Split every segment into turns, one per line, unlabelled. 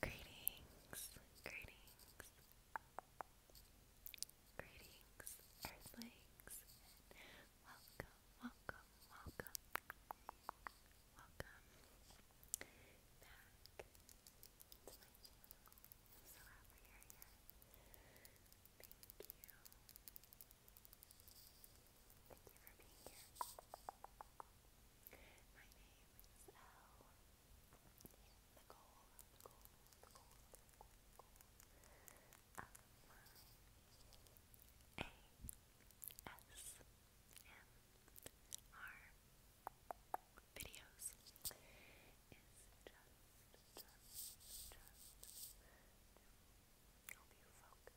Greetings, greetings, Greetings, Earthlings, welcome, welcome, welcome, welcome back so happy you're here. Thank you. Thank you for being here. My name is Elle. Nicole, videos is just, just, just to help you focus, focus, focus.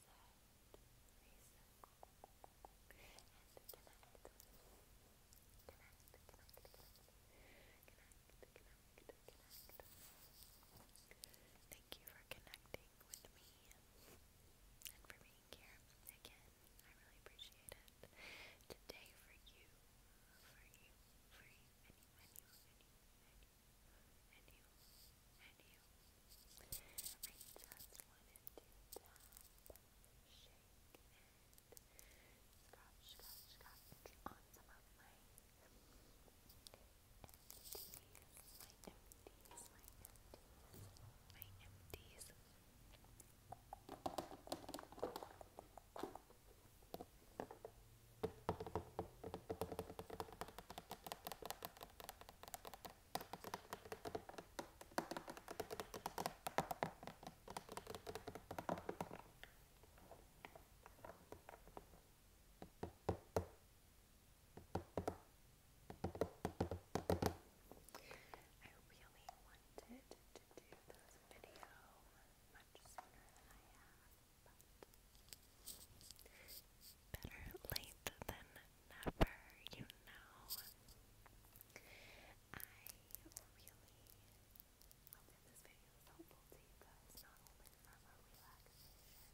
Thank you for connecting with me and for being here again. I really appreciate it. Today for you, for you, for you, and you, and you, and you, and you, and you, you, you. I just wanted to tap, shake, and scratch, scratch, scratch on some of my empties, my empties, my empties, my empties. I I really wanted to do this video much sooner than I have, better late than never, you know. I really hope this video is not only from a relaxation,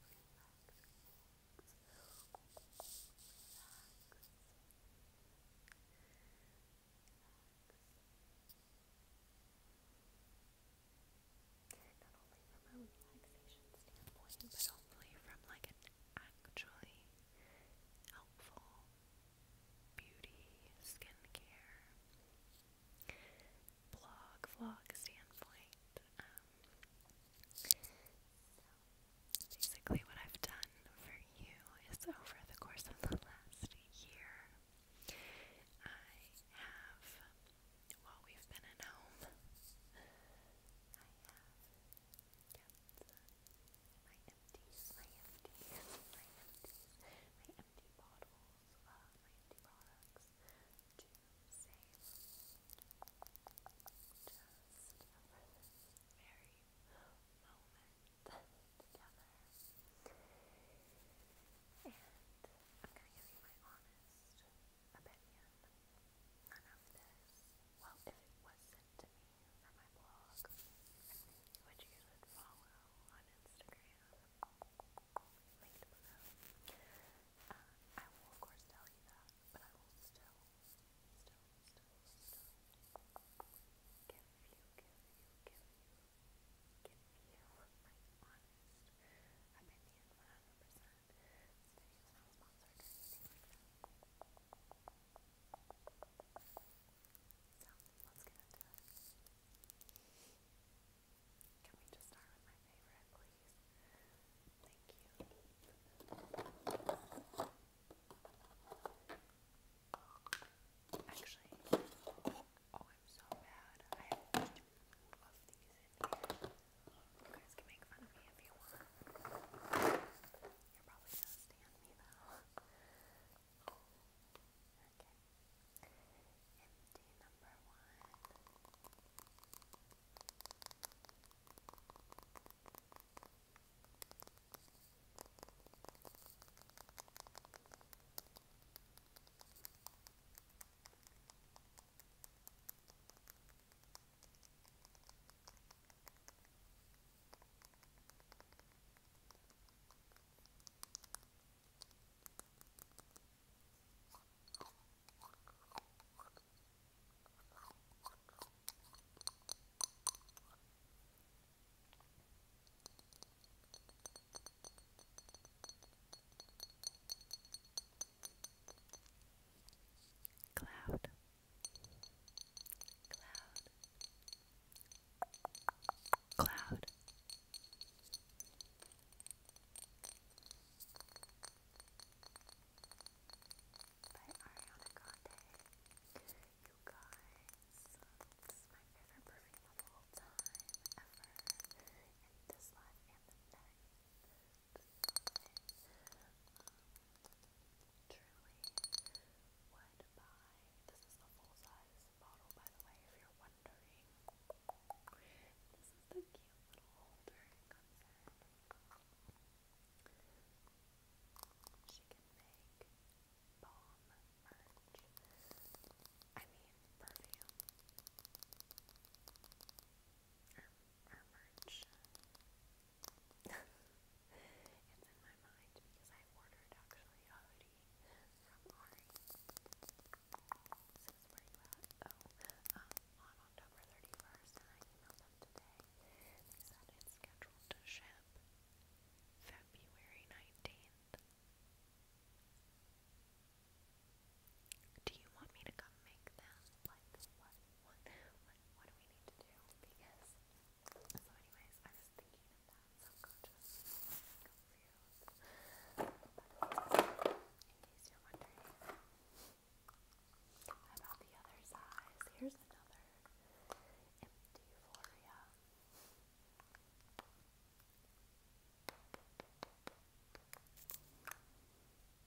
relax, relaxation but hopefully from like can actually helpful beauty, skincare, blog, vlog standpoint. Um, basically, what I've done for you is over the course of the last year, I have, while we've been at home, I have my empties, my empties, my empties, my empty bottles, uh, my empty products to save just for this very moment together. And I'm gonna give you my honest opinion none you should follow on Instagram uh, I will of course tell you that but I will still still still still give you give you give you give you my honest opinion 100% can we just start with my favorite, please? Thank you. Actually, oh, I'm so bad. I have two of these in here. You guys can make fun of me if you want. You're probably gonna stand me though. Okay. Empty number one. Cloud Cloud. Cloud. By Ariana Grande. You guys, this is my favorite perfume of all time, ever. In this life and the next. Truly would buy. This is the full size bottle, by the way, if you're wondering. This is the cute little holder it She can make bomb merch. I mean, perfume. or merch it's in my mind because I ordered actually a from Ari. Says where you at? um, on October 31st, and I emailed them today. They said scheduled to ship February 19th. Do you want me to come make them? what do we need to do? Because, so anyways, I was thinking of that subconscious, confused, but in case you're wondering about the other size, here's another empty Floria. This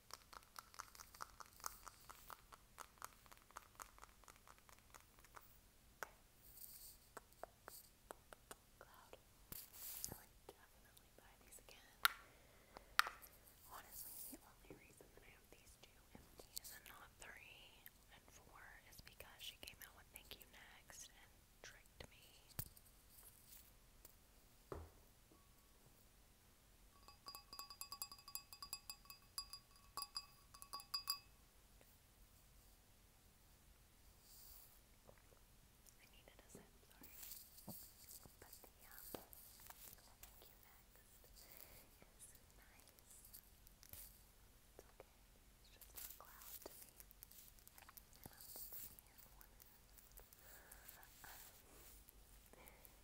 Cloud. I would definitely buy these again. Honestly, the only reason that I have these two empties and not three and four is because she came out with Thank You Next and tricked me. I needed a sip, sorry. But the um I think you next is nice. It's okay. It's just not cloud to me. And I'm just seeing one of them. Um,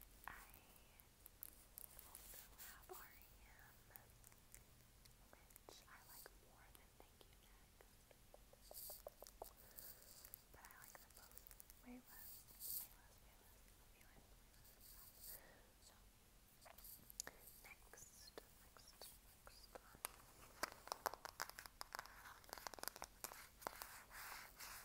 I I like more than Thank You Next. But I like them both next, next, next one.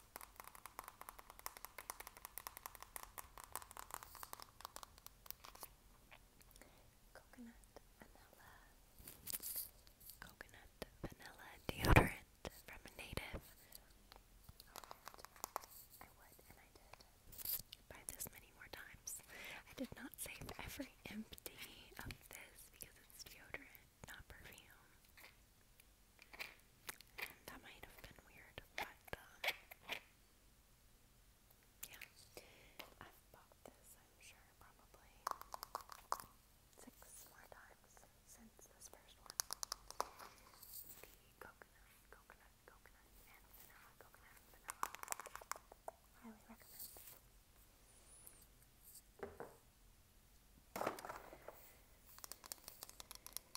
Coconut vanilla. Coconut vanilla deodorant from a native. I would and I did buy this many more times. I did not save every empty of this because it's deodorant, not perfume. That might have been weird, but uh, yeah. I've bought this, I'm sure, probably six more times since this first one. The coconut, coconut, coconut, and vanilla, coconut, vanilla. Highly recommend.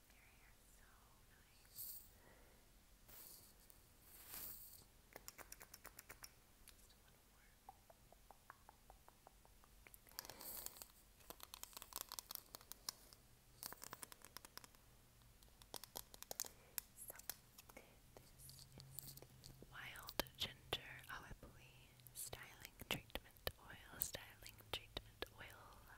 Their hair Wild Ginger Alepui Styling Treatment Oil, Styling Treatment Oil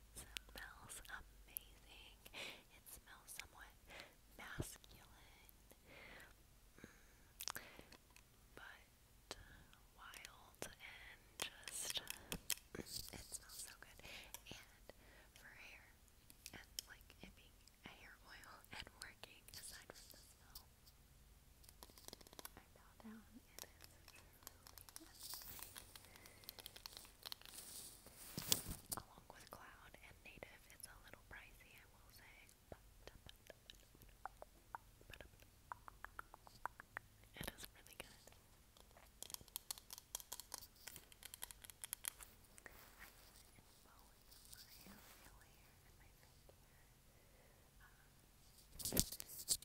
smells amazing. It smells somewhat masculine. Mm. But uh, wild and just uh, it smells so good. And for hair and like it being a hair oil and working aside from the smell. I bow down and it is Along with Cloud and Native, it's a little pricey, I will say. But, it is really good.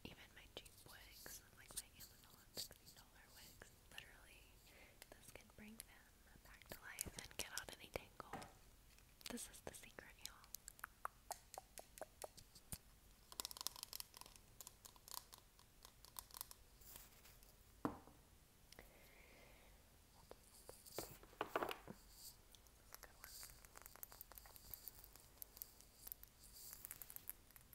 Even my cheap wigs, like my Amazon Literally, this can bring them back to life and get out any tangle. This is the secret, y'all.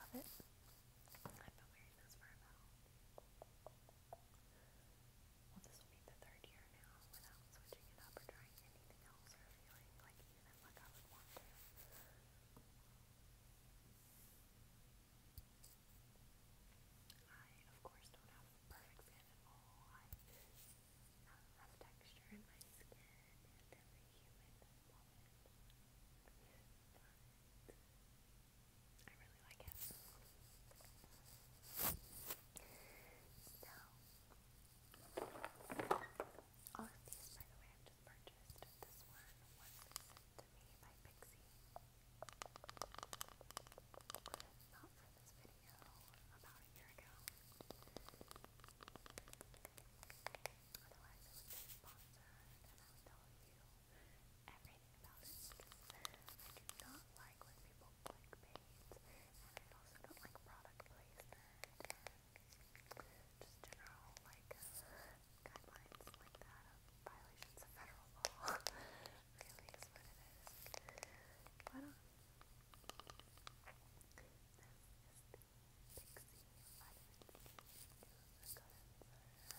Love it. I've been wearing this for about, well, this will be the third year now without switching it up or trying anything else or feeling like even like I would want to. I, of course, don't have perfect skin at I have texture in my skin and every human moment. But I really like it. So, all of these, by the way, i just purchased. This one was sent to me by Pixie. Not for this video, about a year ago. Otherwise, I would be sponsored and I would tell you everything about it. I do not like when people clickbait, and I also don't like product placement just general like uh, guidelines like that violations of federal law, really is what it is. But, um, this is the Pixie Vitamin D Nude Cleanser. And it's made with orange flower water.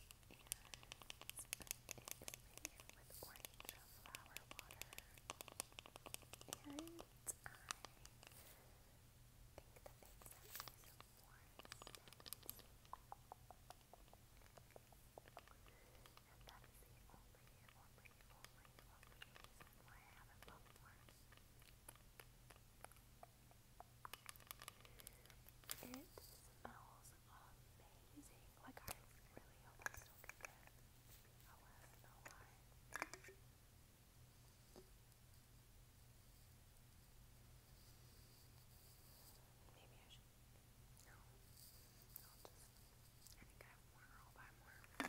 And I think that they sent me some more stems. I and that is It smells amazing. Like I really hope I still get it. I was no lie. Maybe I should no. i And I love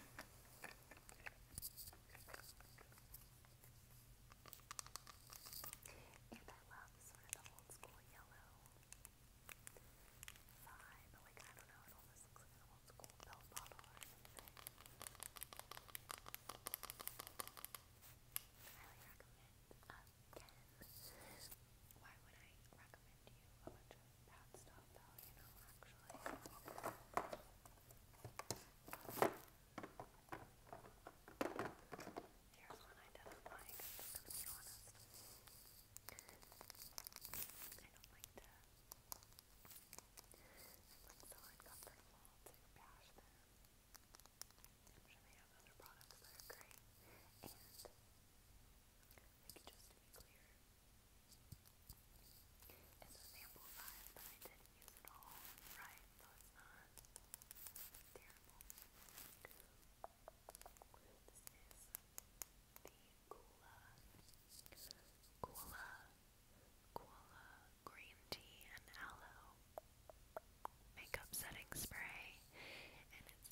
sort of the old school yellow vibe. Like, I don't know, it almost looks like an old school bell bottle or something. I recommend. Um, why would I recommend you a bunch of bad stuff though, you know, actually? Here's one I didn't like, to be honest. I don't like to I'm like so to bash them. I'm they have other products that are great. And, just to be clear, it's a sample size that I didn't use at all, right? So it's not terrible. This the Kula, Kula, Kula Green Tea and Aloe Makeup Setting Spray, and it's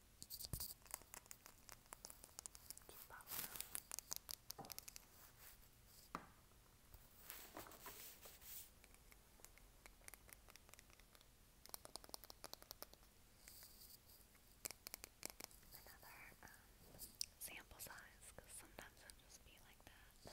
Keep up. Another um, sample size, because sometimes it'll just be like that.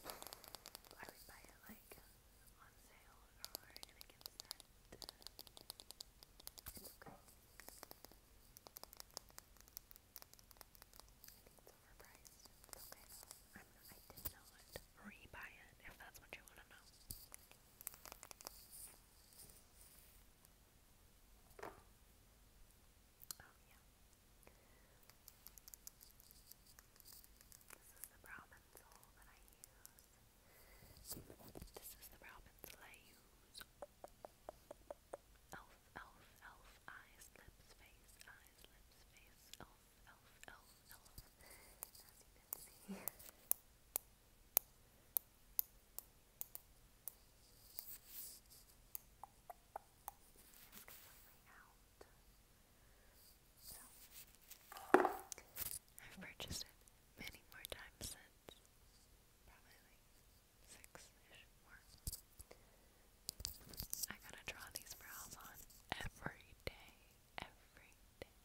I would buy it like on sale or in a gift set. It's okay. it's overpriced. okay I'm, I did not rebuy it if that's what you want to know. Oh This is the brow pencil that I use. This is the brow pencil I use. Elf, elf, elf, eyes, lips, face, eyes, lips, face, elf, elf, elf, elf. As you can see. It's completely out. So, I've purchased it many more times since. Probably like six-ish more. I gotta draw these brows on every day. Every day.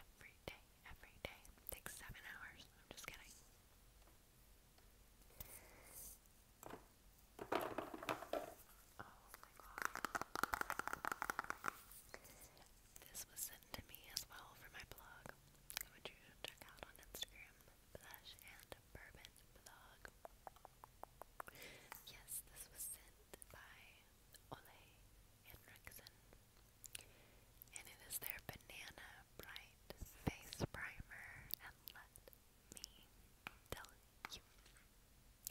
Every day. Every day. takes seven hours. I'm just kidding. Oh This was sent to me as well for my blog. I want you to check out on Instagram, Blush and Bourbon Blog. Yes, this was sent by Ole Henriksen. And it is their Banana Bright Face Primer and Let me. Tell you.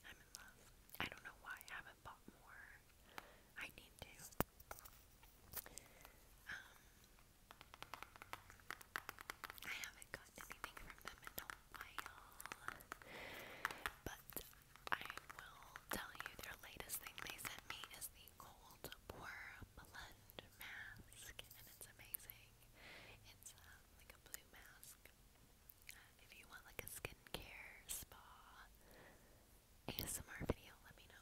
I'm in love. I don't know why I haven't bought more. I need to. Um I haven't gotten anything from them in a while. But I will tell you their latest thing they sent me is the cold pour blend mask and it's amazing. It's uh, like a blue mask. If you want like a skincare, spa, ASMR video, let me know.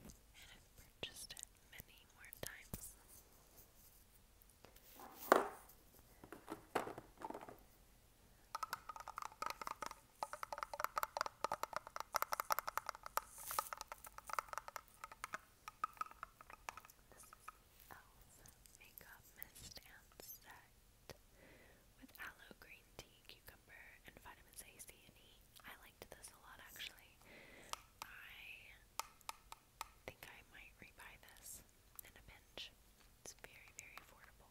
and I've purchased it many more times. This is Elf Makeup Mist and Set with Aloe Green vitamin cucumber, and vitamins A, C, and E. I liked this a lot actually. I think I might rebuy in a pinch. It's very, very affordable.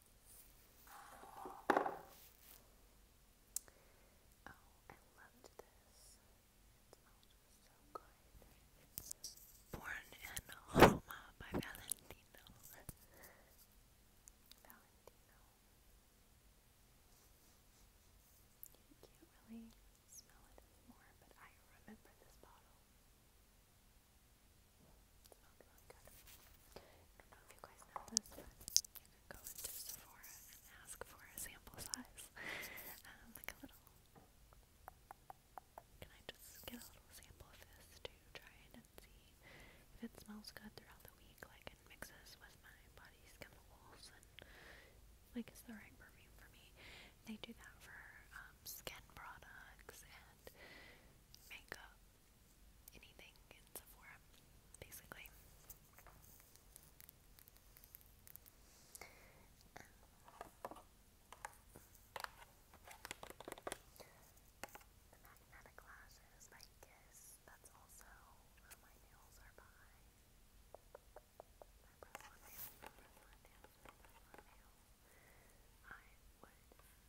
Oh, Born in Roma by Valentino. You can't really smell it anymore, but I remember this bottle. Smelled really good. I don't know if you guys know this, but you can go into Sephora and ask for a sample size. um, like a little. Can I just get a little sample of this to try it and see if it smells good throughout the week? Like it mixes with my body's chemicals and like it's the right perfume for me. They do that for um, skin products and makeup anything in Sephora, basically. Um, the magnetic lashes by Kiss, that's also where my nails are by. My Revlon my Revlon my Revlon I would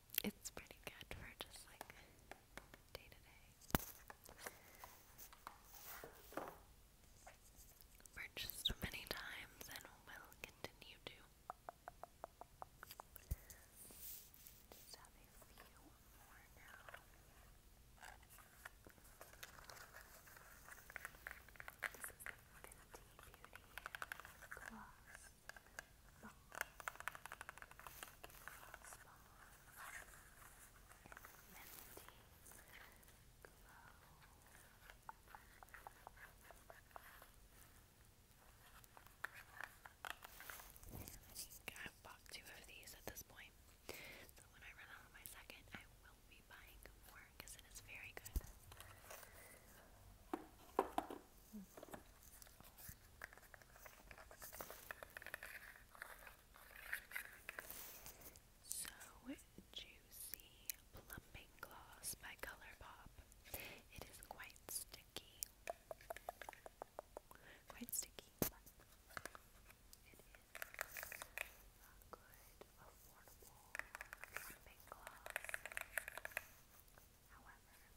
It's pretty good for just like day to day. Purchased many times and will continue to. Just have a few more now. This is the Beauty Gloss I've bought two of these at this point. So when I run out of my second, I will be buying more because it is very good. So Juicy Plumping Gloss by Color It is quite sticky. Quite sticky, it is a good, affordable plumping gloss. However, I have had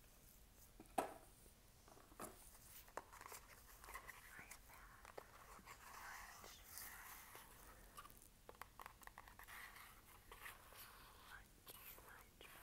much, much, much better results with grande lips. I feel this lip blotting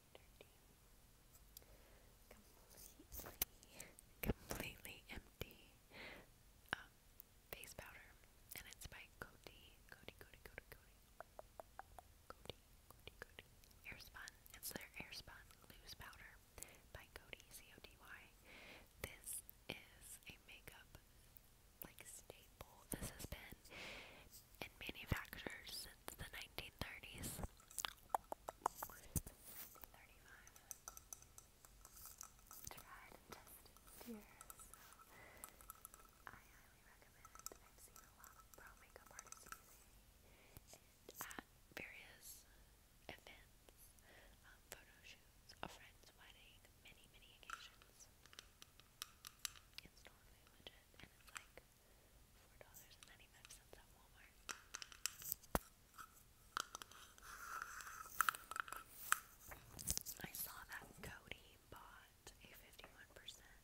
completely, empty uh, face powder, and it's by Coty, Coty, Coty, Coty, Coty, Coty, Coty, Coty, Airspun. It's their Airspun Loose Powder by Coty, C-O-D-Y. This is a makeup like staple. This has been and manufactured since the 1930s. 35. Tried and tested here, so I highly recommend it. I've seen a lot of pro makeup artists using it at various events, photo shoots, a friend's wedding, many, many occasions. It's totally legit, and it's like Four dollars I saw that Cody bought a fifty-one percent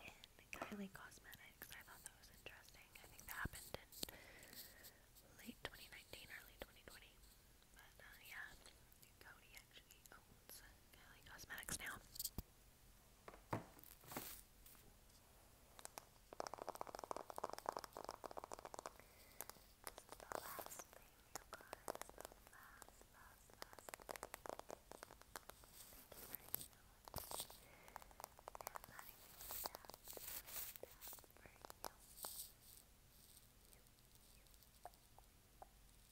in Kylie Cosmetics. I thought that was interesting. I think that happened in late twenty nineteen, early twenty twenty. But uh, yeah, Cody actually owns Kylie Cosmetics now the last thing, you guys. The last, last, last thing. Thank you very much. And that is that. That for you. You, you.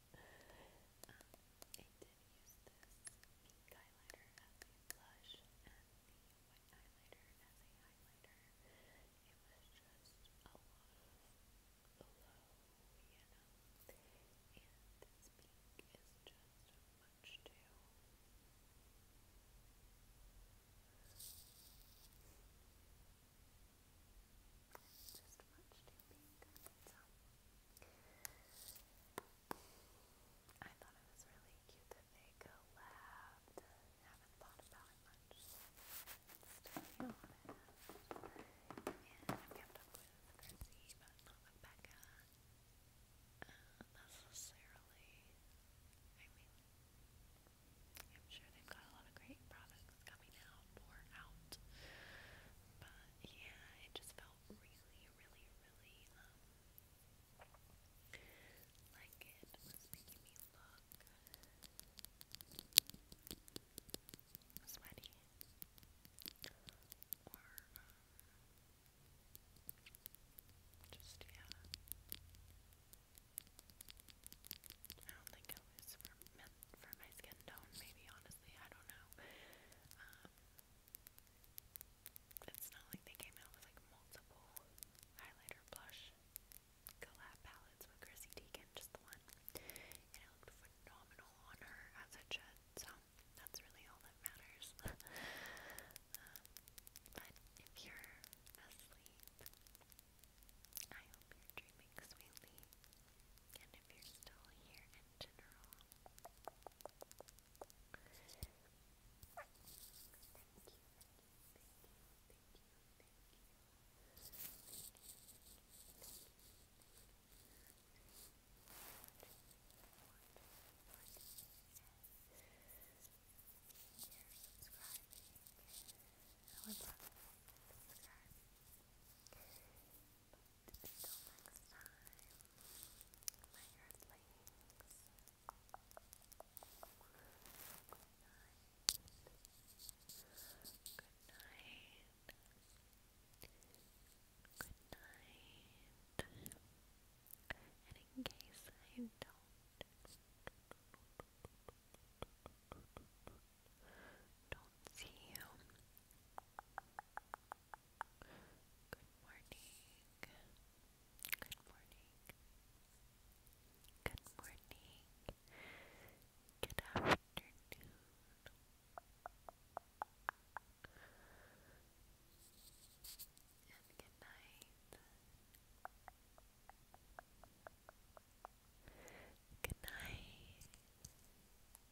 Um, I did use this pink highlighter as a blush and the white highlighter as a highlighter. It was just a lot low, you know. And this pink is just much too. Just much too pink I thought it was really cute that they collabed. Haven't thought about it much. Still on it. I've kept up with Chrissy, but not with Becca. Uh, necessarily. I mean, I'm sure they've got a lot of great products coming out more out. But yeah, it just felt really, really, really um, like it was making me look sweaty or um, just yeah. I don't think it was for for my skin tone, maybe honestly honestly. I don't know. Um, it's not like they came out with like multiple highlighter blush collab palettes with Chrissy Teigen, just the one. And it phenomenal on her as it that's really all that matters. Um, but if you're asleep, I hope you're dreaming sweetly. And if you're still here in general, subscribing. I would love subscribe. But good night, good night, good night, and in case I don't see you. Good morning. Good morning. Good morning. Good afternoon. And good night. Good night.